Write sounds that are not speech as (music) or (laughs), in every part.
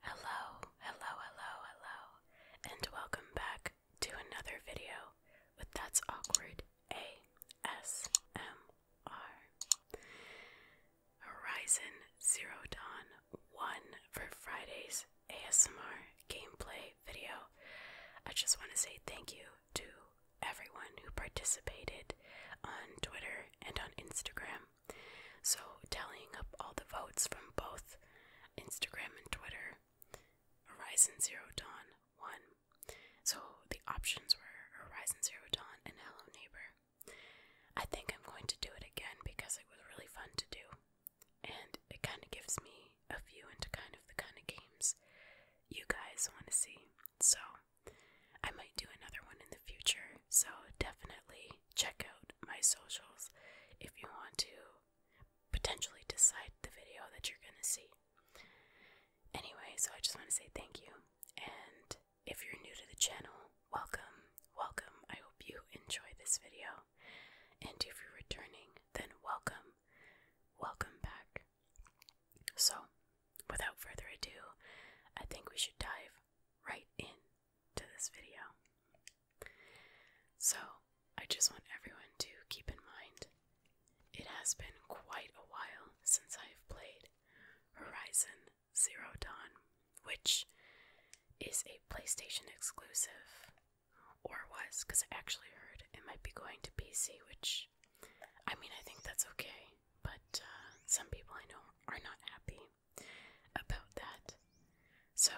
Hello, hello, hello, hello, and welcome back to another video with That's Awkward ASMR. Horizon Zero Dawn 1 for Friday's ASMR gameplay video. I just want to say thank you to everyone who participated on Twitter and on Instagram. So, tallying up all the votes from both Instagram and Twitter, Horizon Zero Dawn won. So, the options were Horizon Zero Dawn and Hello Neighbor. I think I'm going to do it again because it was really fun to do, and it kind of gives me a view into kind of the kind of games you guys want to see. So, I might do another one in the future. So, definitely check out my socials if you want to potentially decide the video that you're going to see. Anyway, so I just want to say thank you. And if you're new to the channel, welcome, welcome. I hope you enjoy this video. And if you're returning, then welcome, welcome back. So, without further ado, I think we should dive right in to this video. So, I just want everyone to keep in mind it has been quite a while since I have played Horizon Zero Dawn, which is a PlayStation exclusive, or was, because I actually heard it might be going to PC, which I mean, I think that's okay, but uh, some people I know are not happy about that. So,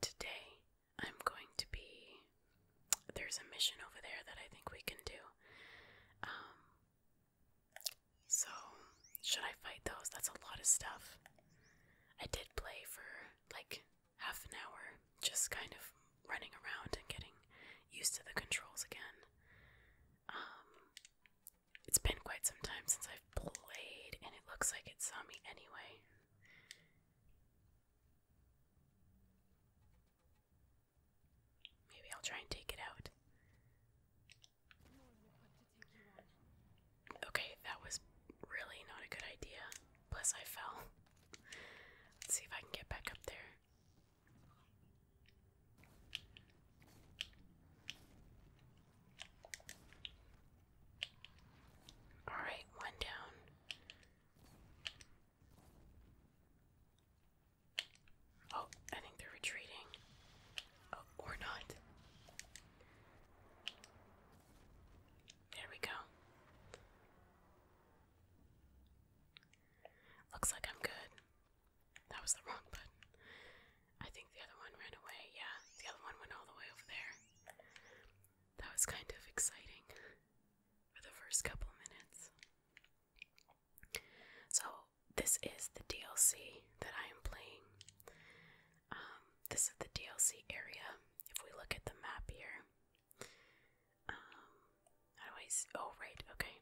today I'm going to be. There's a mission over there that I think we can do. Um, so, should I fight those? That's a lot of stuff. I did play for like half an hour just kind of running around and getting used to the controls again. Um, it's been quite some time since I've played, and it looks like it saw me anyway. Maybe I'll try and take it out. Okay, that was really not a good idea. Plus, I fell. Let's see if I can get back up there. Alright, one down. Oh, I think they're retreating. Oh, or not. There we go. Looks like I'm good. That was the wrong button. I think the other one ran away. Yeah, the other one went all the way over there. That was kind of exciting for the first couple minutes. So, this is the DLC that I am playing. Um, this is the DLC area. If we look at the map here, um, how do Oh, right. Okay,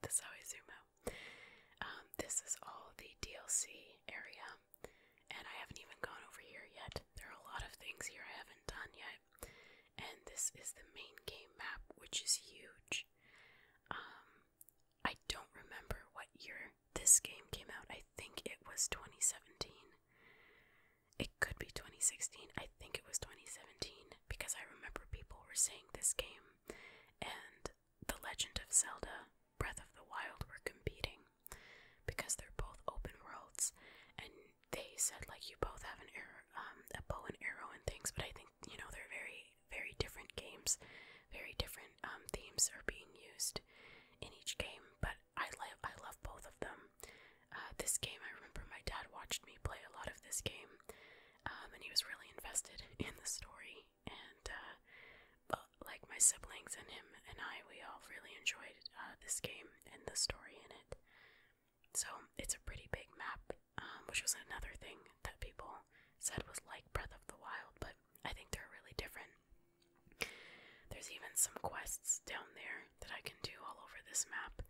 that's how I zoom out. Um, this is all the DLC area, and I haven't even gone over here yet. There are a lot of things here I haven't done yet, and this is the main game map, which is huge. Um, I don't remember what year this game came out. I think it was 2017. It could be 2016. I think it was 2017 because I remember people were saying this game and The Legend of Zelda Breath of the Wild were competing because they're both open worlds and they said like you both have an arrow, um, a bow and arrow and things, but I think you know they're very very different games, very different um, themes are being used in each game, but I love I love both of them. Uh, this game, I remember my dad watched me play a lot of this game, um, and he was really invested (laughs) in the story. And uh, uh, like my siblings and him and I, we all really enjoyed this game and the story in it. So it's a pretty big map, um, which was another thing that people said was like Breath of the Wild, but I think they're really different. There's even some quests down there that I can do all over this map,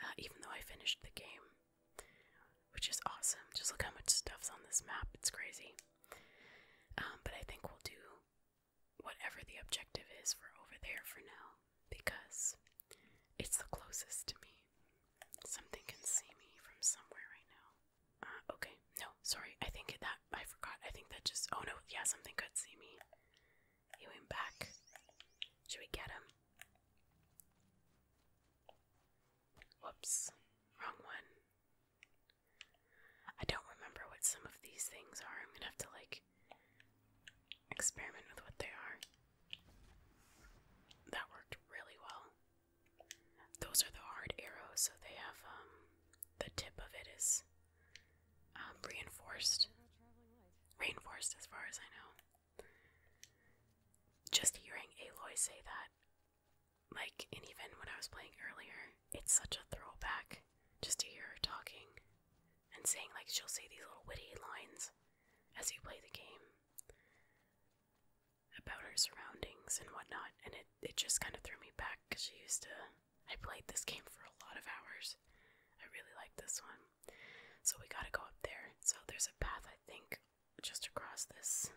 uh, even though I finished the game, which is awesome. Just look how much stuff's on this map, it's crazy. Um, but I think we'll do whatever the objective is We're over there for now, because it's the closest to me. Something can see me from somewhere right now. Uh, okay, no, sorry, I think that, I forgot, I think that just, oh no, yeah, something could see me. He went back. Should we get him? Whoops. Wrong one. I don't remember what some of these things are. I'm gonna have to, like, experiment with what they are. That worked really well. Those are the hard arrows, so they have, um, the tip of it is um, reinforced, reinforced as far as I know. Just hearing Aloy say that, like, and even when I was playing earlier, it's such a throwback just to hear her talking and saying, like, she'll say these little witty lines as you play the game about her surroundings and whatnot, and it, it just kind of threw me back because she used to I played this game for a lot of hours. I really like this one. So we gotta go up there. So there's a path, I think, just across this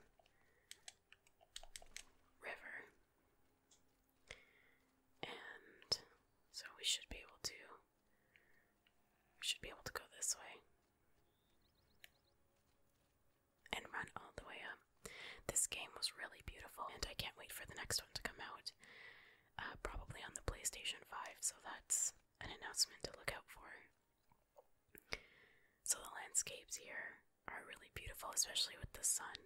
river. And so we should be able to. should be able to go this way. And run all the way up. This game was really beautiful, and I can't wait for the next one to come out uh, probably on the PlayStation 5, so that's an announcement to look out for. So the landscapes here are really beautiful, especially with the sun.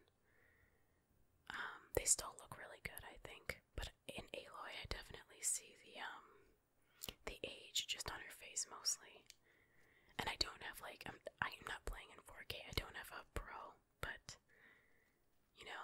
Um, they still look really good, I think, but in Aloy, I definitely see the um, the age just on her face mostly. And I don't have like I'm I'm not playing in 4K. I don't have a Pro, but you know,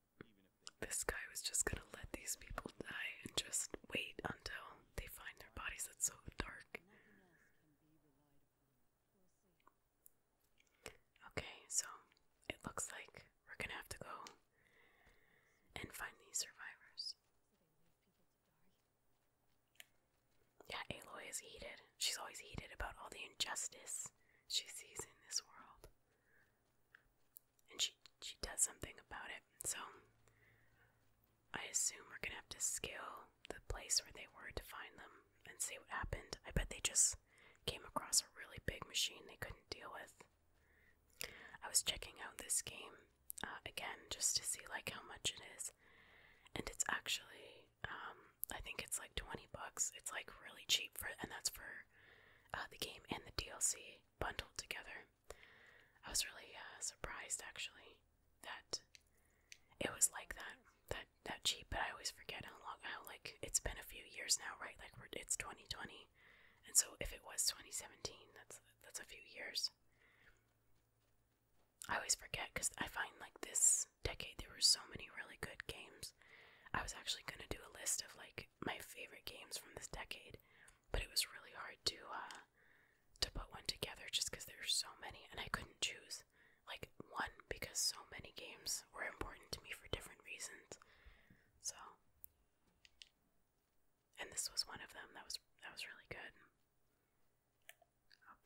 This guy was just gonna let these people die and just wait until they find their bodies. That's so dark. Okay, so it looks like we're gonna have to go and find these survivors. Yeah, Aloy is heated. She's always heated about all the injustice she sees in this world and she she does something about it. So I assume we're gonna have to scale the place where they were to find them and see what happened. I bet they just came across a really big machine they couldn't deal with. I was checking out this game uh, again just to see like how much it is, and it's actually um, I think it's like twenty bucks. It's like really cheap for, and that's for uh, the game and the DLC bundled together. I was really uh, surprised actually that it was like that, that that cheap. But I always forget how long how like it's been a few years now, right? Like it's 2020, and so if it was 2017, that's that's a few years. I always forget because I find like this decade there were so many really good games. I was actually gonna do a list of like my favorite games from this decade, but it was really hard to uh to put one together just because there were so many and I couldn't choose like one because so many games were important to me for different reasons. So and this was one of them that was that was really good.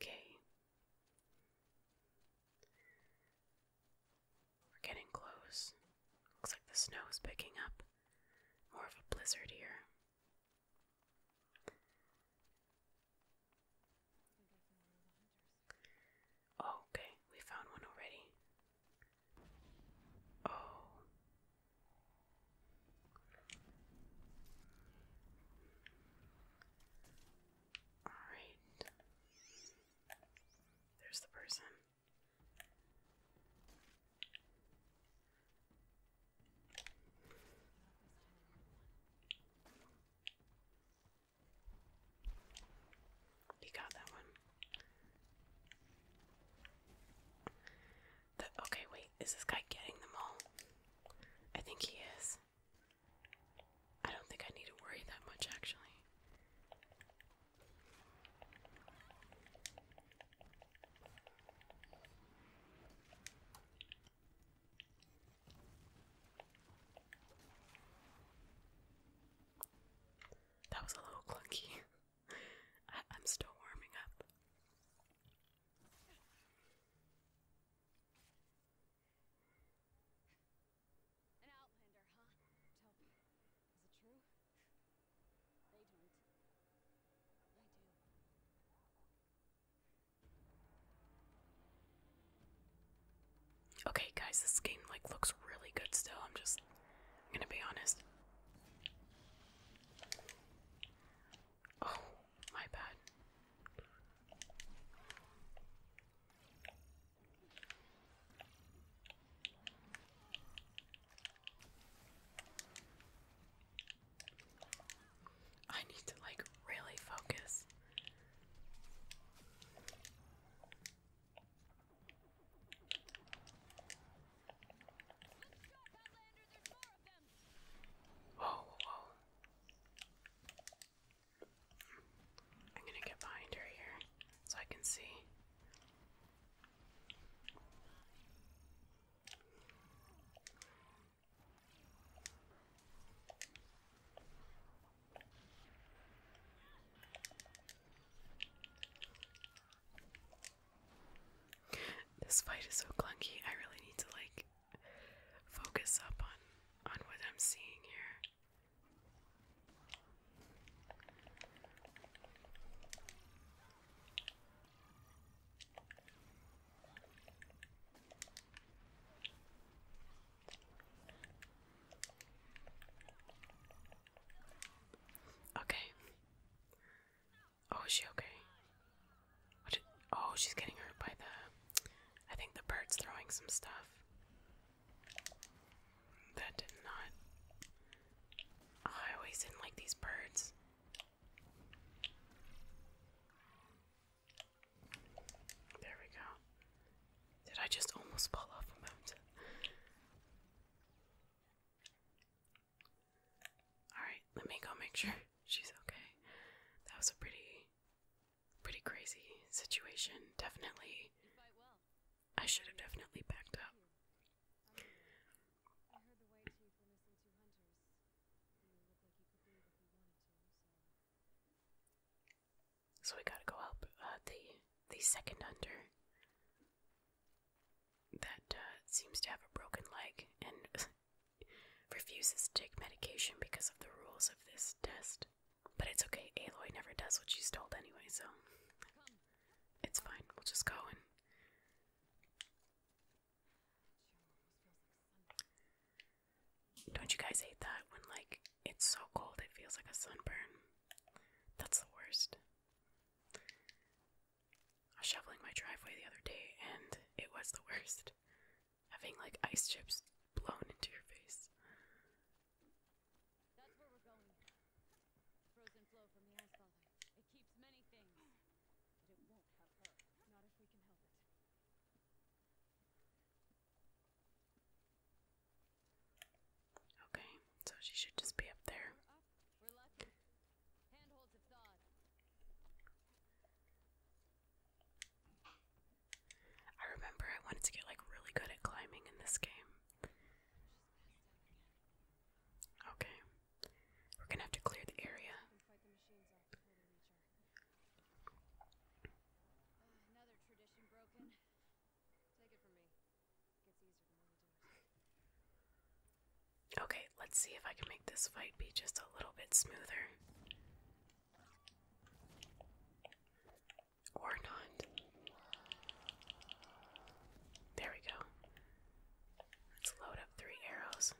Okay. We're getting close. Looks like the snow's picking up. More of a blizzard here. Oh, okay, we found one already. Oh. Alright. There's the person. You got that one. okay, wait, is this guy getting them all? I think he is. I don't think I need to worry that much, actually. That was a little clunky. (laughs) I am still warming up. An outlander, huh? Tell is it true? They don't. I do. Okay, guys, this game like looks really good still. I'm just I'm gonna be honest. Oh, my bad. I need to like really focus. Whoa, whoa. I'm gonna get behind her here so I can see. This fight is so clunky. I really need to like focus up on on what I'm seeing here. Okay. Oh, is she okay? oh, she's getting hurt by the. I think the bird's throwing some stuff. That did not. Oh, I always didn't like these birds. There we go. Did I just almost fall off a mountain? Alright, let me go make sure she's okay. That was a pretty pretty crazy situation. Definitely, I should have definitely backed up. So we gotta go help uh, the the second hunter that uh, seems to have a broken leg and (laughs) refuses to take medication because of the rules of this test. But it's okay, Aloy never does what she's told anyway, so it's fine. We'll just go and don't you guys hate that when like it's so cold it feels like a sunburn? That's the worst. I was shoveling my driveway the other day and it was the worst. Having like ice chips blown into your face. That's where we're going. Frozen flow from the Ice Father. It keeps many things. But it won't have her. Not if we can help it. Okay, so she should just be up there. I remember I wanted to get like really good at climbing in this game. Okay. We're gonna have to clear the area. Okay, let's see if I can make this fight be just a little bit smoother. Or not. There we go. Let's load up three arrows.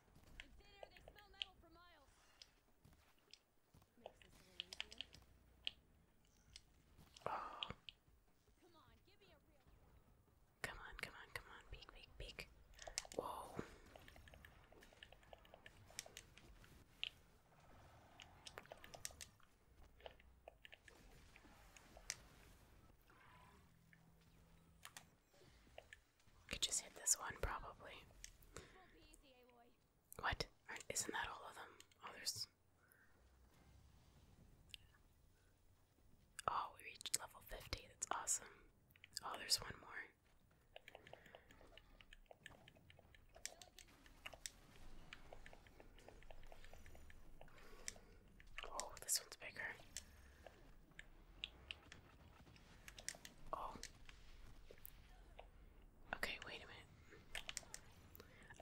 Oh. Come on, come on, come on. Peek, peek, peek. Whoa. Could just hit this one, probably. What? not that all of them? Oh, there's. Oh, we reached level 50. That's awesome. Oh, there's one more. Oh, this one's bigger. Oh. Okay, wait a minute.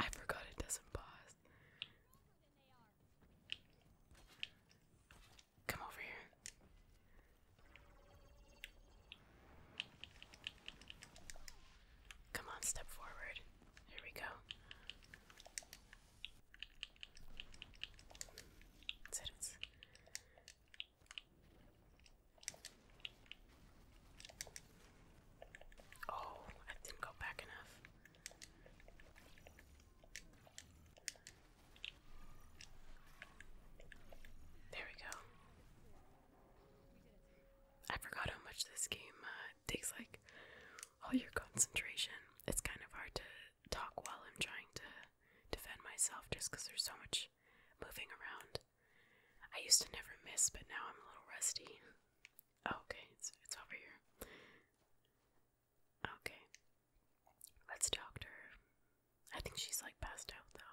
I forgot it doesn't pause. Come over here. Come on, step forward. Here we go. Oh, I didn't go back enough. There we go. I forgot how much this game uh, takes like all your concentration. It's kind of hard to talk while I'm trying to defend myself just because there's so much moving around. I used to never miss, but now I'm a little rusty. Oh, okay, it's, it's over here. Okay, let's talk to her. I think she's like passed out though.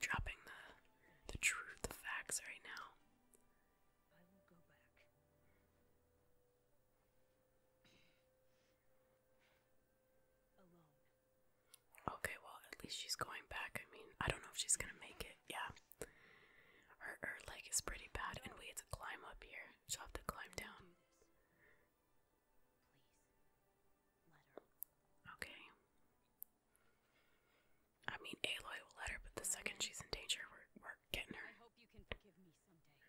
dropping the the truth, the facts right now. Okay, well, at least she's going back. I mean, I don't know if she's gonna make it. Yeah, her her leg is pretty bad, and we had to climb up here. She'll have to climb down. Okay. I mean, Aloy will let her, but the second she's in danger, we're, we're getting her. I hope you can forgive me someday.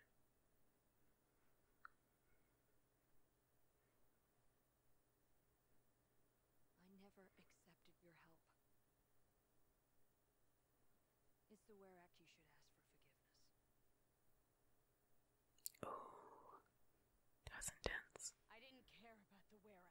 I never accepted your help. It's the Ware you should ask for forgiveness. Oh, that's intense. I didn't care about the Ware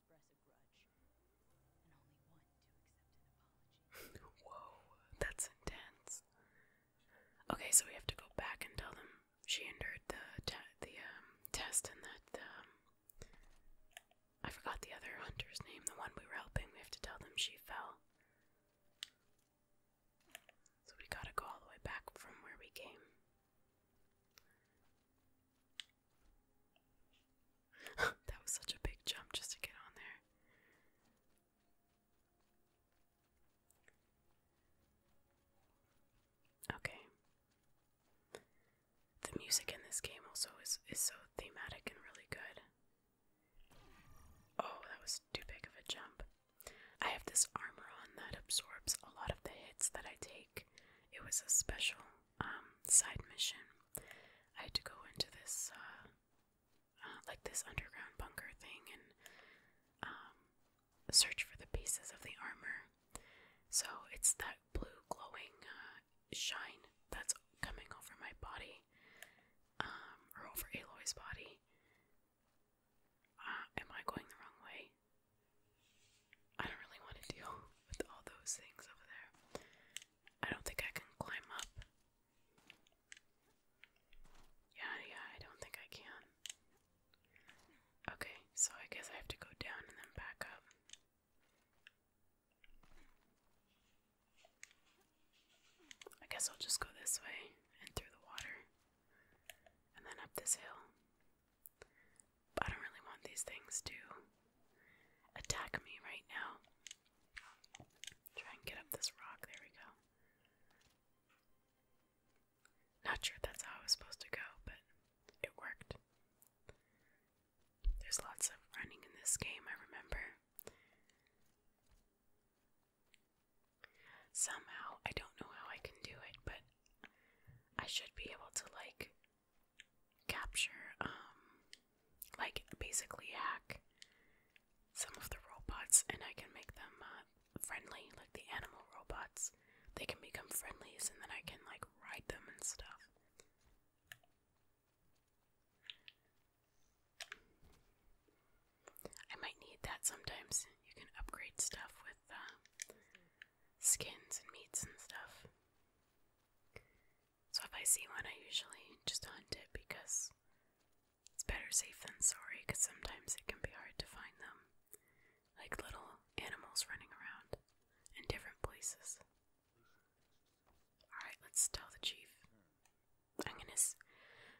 (laughs) Whoa, that's intense. Okay, so we have to go back and tell them she endured the the um, test and that um, I forgot the other hunter's name, the one we were helping. We have to tell them she fell. So we gotta go all the way back from where we came. (laughs) that was such a big jump just to get on there. Okay. The music in this game also is is so thematic and really good. Oh, that was too big of a jump. I have this armor on that absorbs a lot of the hits that I take. It was a special um, side mission, I had to go into this, uh, uh, like this underground bunker thing and um, search for the pieces of the armor. So it's that blue glowing uh, shine that's coming over my body, um, or over Aloy's body. am I going the wrong way? I don't really want to deal (laughs) with all those things over there. I don't think I can climb up. Yeah, yeah, I don't think I can. Okay, so I guess I have to go down and then back up. I guess I'll just go this way and through the water and then up this hill. I don't really want these things to attack me right now. Try and get up this rock. There we go. Not sure that's how I was supposed to go, but it worked. There's lots of running in this game, I remember. Somehow, I don't know how I can do it, but I should be able to, like, capture, um, like basically hack some of the robots, and I can make them uh, friendly, like the animal robots. They can become friendlies, and then I can like ride them and stuff. I might need that sometimes. You can upgrade stuff with uh, skins and meats and stuff. So if I see one, I usually just hunt it because it's better safe than sorry, because sometimes it can be hard to find them. Like little animals running around in different places. Alright, let's tell the chief. I'm gonna.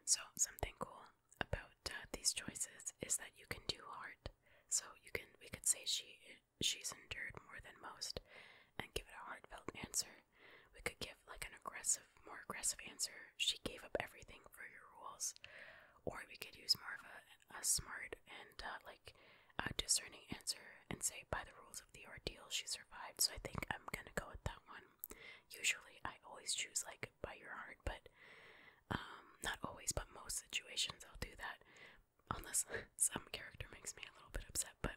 so, something cool about uh, these choices is that you can do hard. So, you can. We could say she she's endured more than most and give it a heartfelt answer. We could give like an aggressive, more aggressive answer. She gave up everything for your rules. Or we could use more of a, smart and uh, like a discerning answer and say, by the rules of the ordeal, she survived. So I think I'm gonna go with that one. Usually, I always choose like by your heart, but um, not always, but most situations I'll do that unless (laughs) some character makes me a little bit upset, but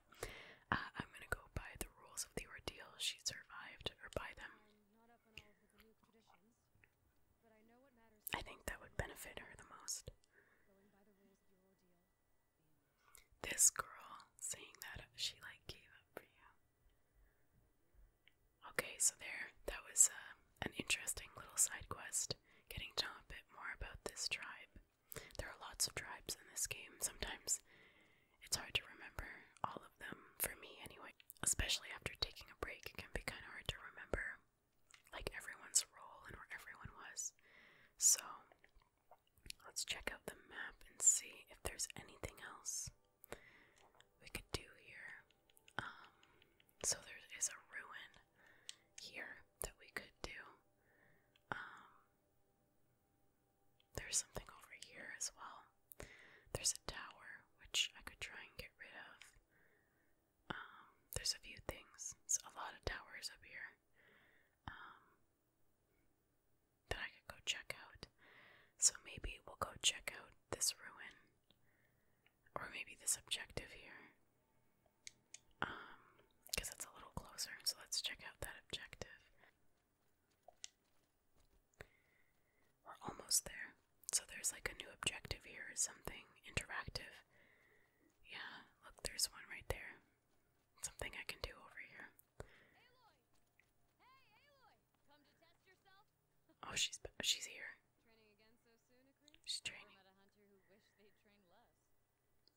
uh, I'm gonna go by the rules of the ordeal she survived, or by them. I think that would benefit her the most. This girl saying that she like gave up for you. Okay, so there, that was uh, an interesting little side quest, getting to know a bit more about this tribe. There are lots of tribes in this game. Sometimes it's hard to remember all of them, for me anyway. Especially after taking a break, it can be kind of hard to remember like everyone's role and where everyone was. So let's check out the map and see if there's anything else we could do here. Um, so there is a ruin here that we could do. Um, there's something over here as well. There's a tower, which I could try and get rid of. Um, there's a few things. It's a lot of towers up here um, that I could go check out. So maybe we'll go check out this ruin, or maybe this objective here, um, because it's a little closer, so let's check out that objective. We're almost there. So there's like a new objective here or something interactive. Yeah, look, there's one right there. Something I can do over here. oh, she's she's here. Training again so soon,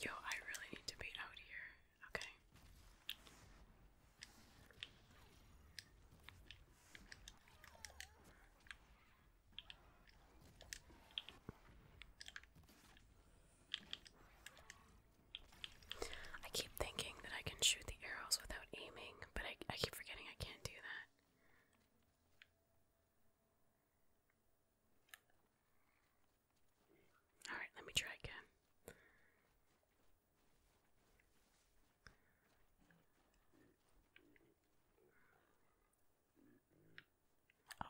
Yo, I really need to be out here. Okay. I keep thinking that I can shoot the arrows without aiming, but I, I keep forgetting I can't do that. Alright, let me try again. Oh.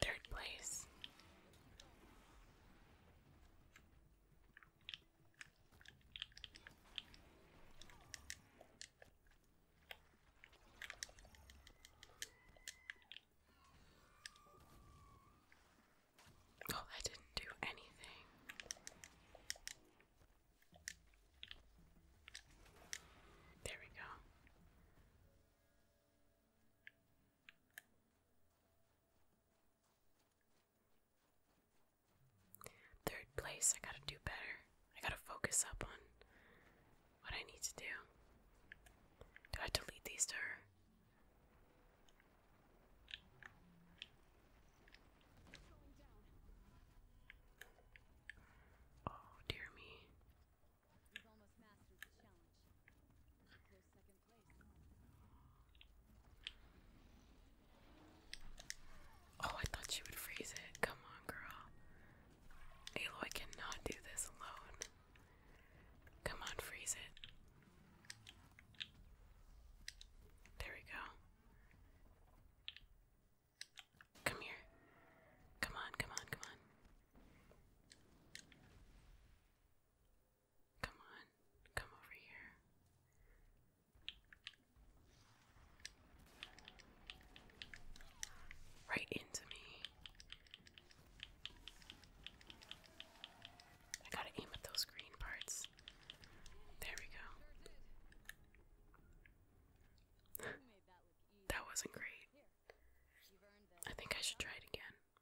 Third place. Well, oh, I didn't do anything. There we go. Third place, I gotta do better. I gotta focus up on what I need to do. Do I delete these to her? Oh, dear me you Oh, I thought she would freeze it. Come on, girl. Aloy cannot do this alone. Come on, freeze it. There we go. Come here. Come on, come on, come on. Come on, come over here. Right into me. I gotta aim at those green parts. There we go. (laughs) that wasn't great. I think I should try it again.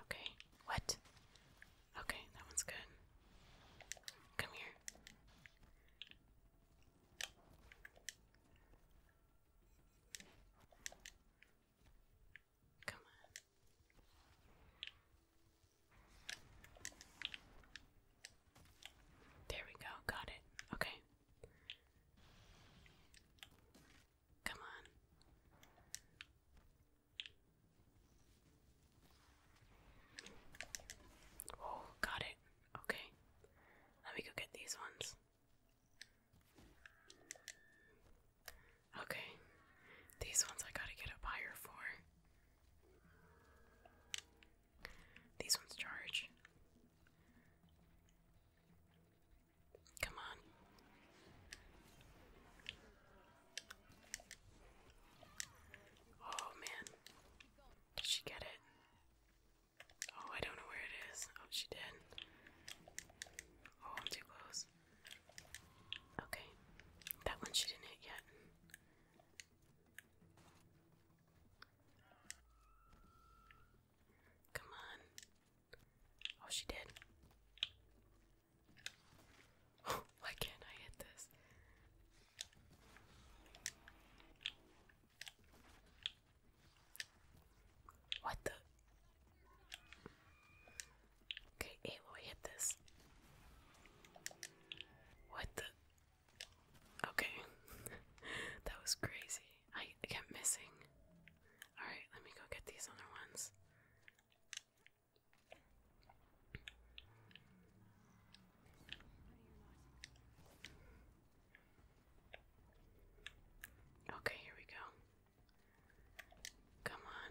Okay, what? Okay, that one's good. Come here. Come on. There we go, got it. Okay. Come on. Oh, got it. Okay. Let me go get these ones. Okay. These ones I gotta get up higher for. These ones charge. Come on. Oh man. Did she get it? Oh, I don't know where it is. Oh, she did. Oh, too close. Okay. That one she didn't hit yet. Come on. Oh, she did. (gasps) why can't I hit this? What the? Okay, Aloy, hit this. What the? Okay. (laughs) that was crazy. I kept missing. Alright, let me go get these other ones. Okay, here we go. Come on.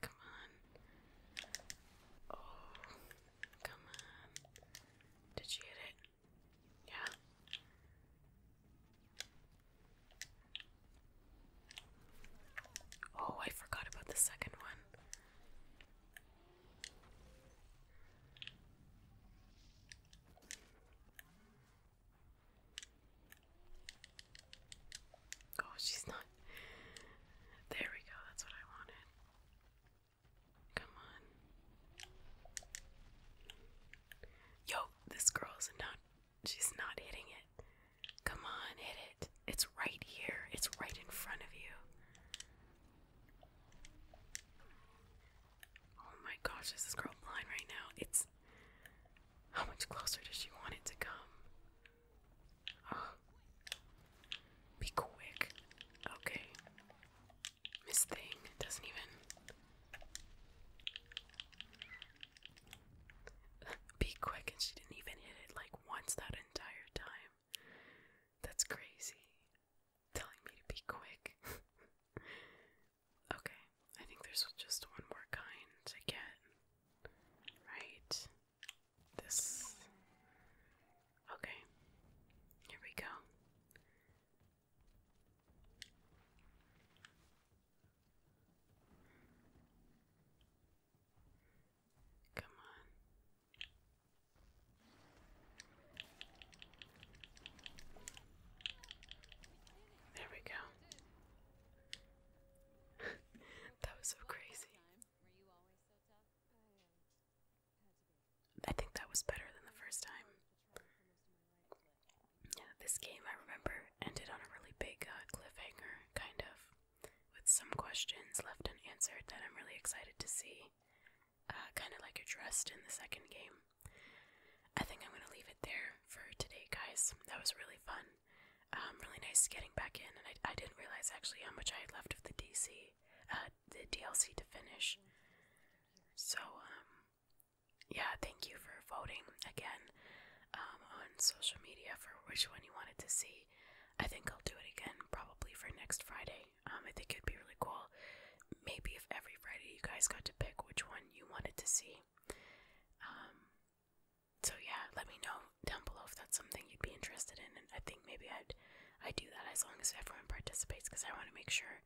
Come on. Oh, come on. Did she hit it? Yeah. Oh, I forgot about the second one. Oh, she's not. There we go, that's what I wanted. Come on. Yo, this girl's not. She's not hitting it. Come on, hit it. It's right here, it's right in front of you. Oh my gosh, is this girl blind right now? It's. How much closer does she want it to come? (sighs) Be quick. Okay. Miss Thing doesn't even. (sighs) Be quick, and she didn't even hit it like once that entire time. That's crazy. Telling me to be quick. (laughs) okay, I think there's just one more kind to get. Right? This. Okay. Here we go. Come on. There we go. (laughs) that was so crazy. I think that was better than the first time. Yeah, this game, I remember, ended on a really big uh, cliffhanger, kind of, with some questions left unanswered that I'm really excited to see, uh, kind of like addressed in the second game. I think I'm going to leave it there for today, guys. That was really fun. Um, really nice getting back in, and I, didn't realize actually how much I had left of the DC, uh, the DLC to finish. So, um, yeah, thank you for voting again um, on social media for which one you wanted to see. I think I'll do it again probably for next Friday. Um, I think it'd be really cool. Maybe if every Friday you guys got to pick which one you wanted to see. Um, so yeah, let me know down below if that's something you'd be interested in, and I think maybe I'd I do that as long as everyone participates because I want to make sure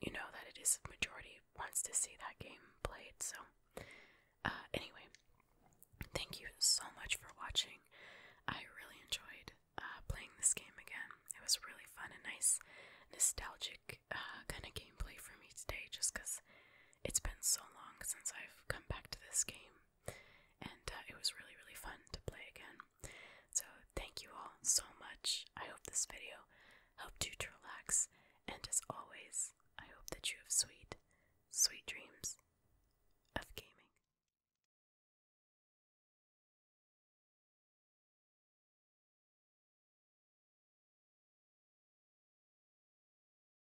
you know that it is majority wants to see that game played. So uh, anyway, thank you so much for watching. I really enjoyed uh, playing this game again. It was really fun and nice, nostalgic uh, kind of gameplay for me today, just because it's been so long since I've come back to this game and uh, it was really, really fun to play again. So, thank you all so much. I hope this video helped you to relax, and as always, I hope that you have sweet, sweet dreams of gaming.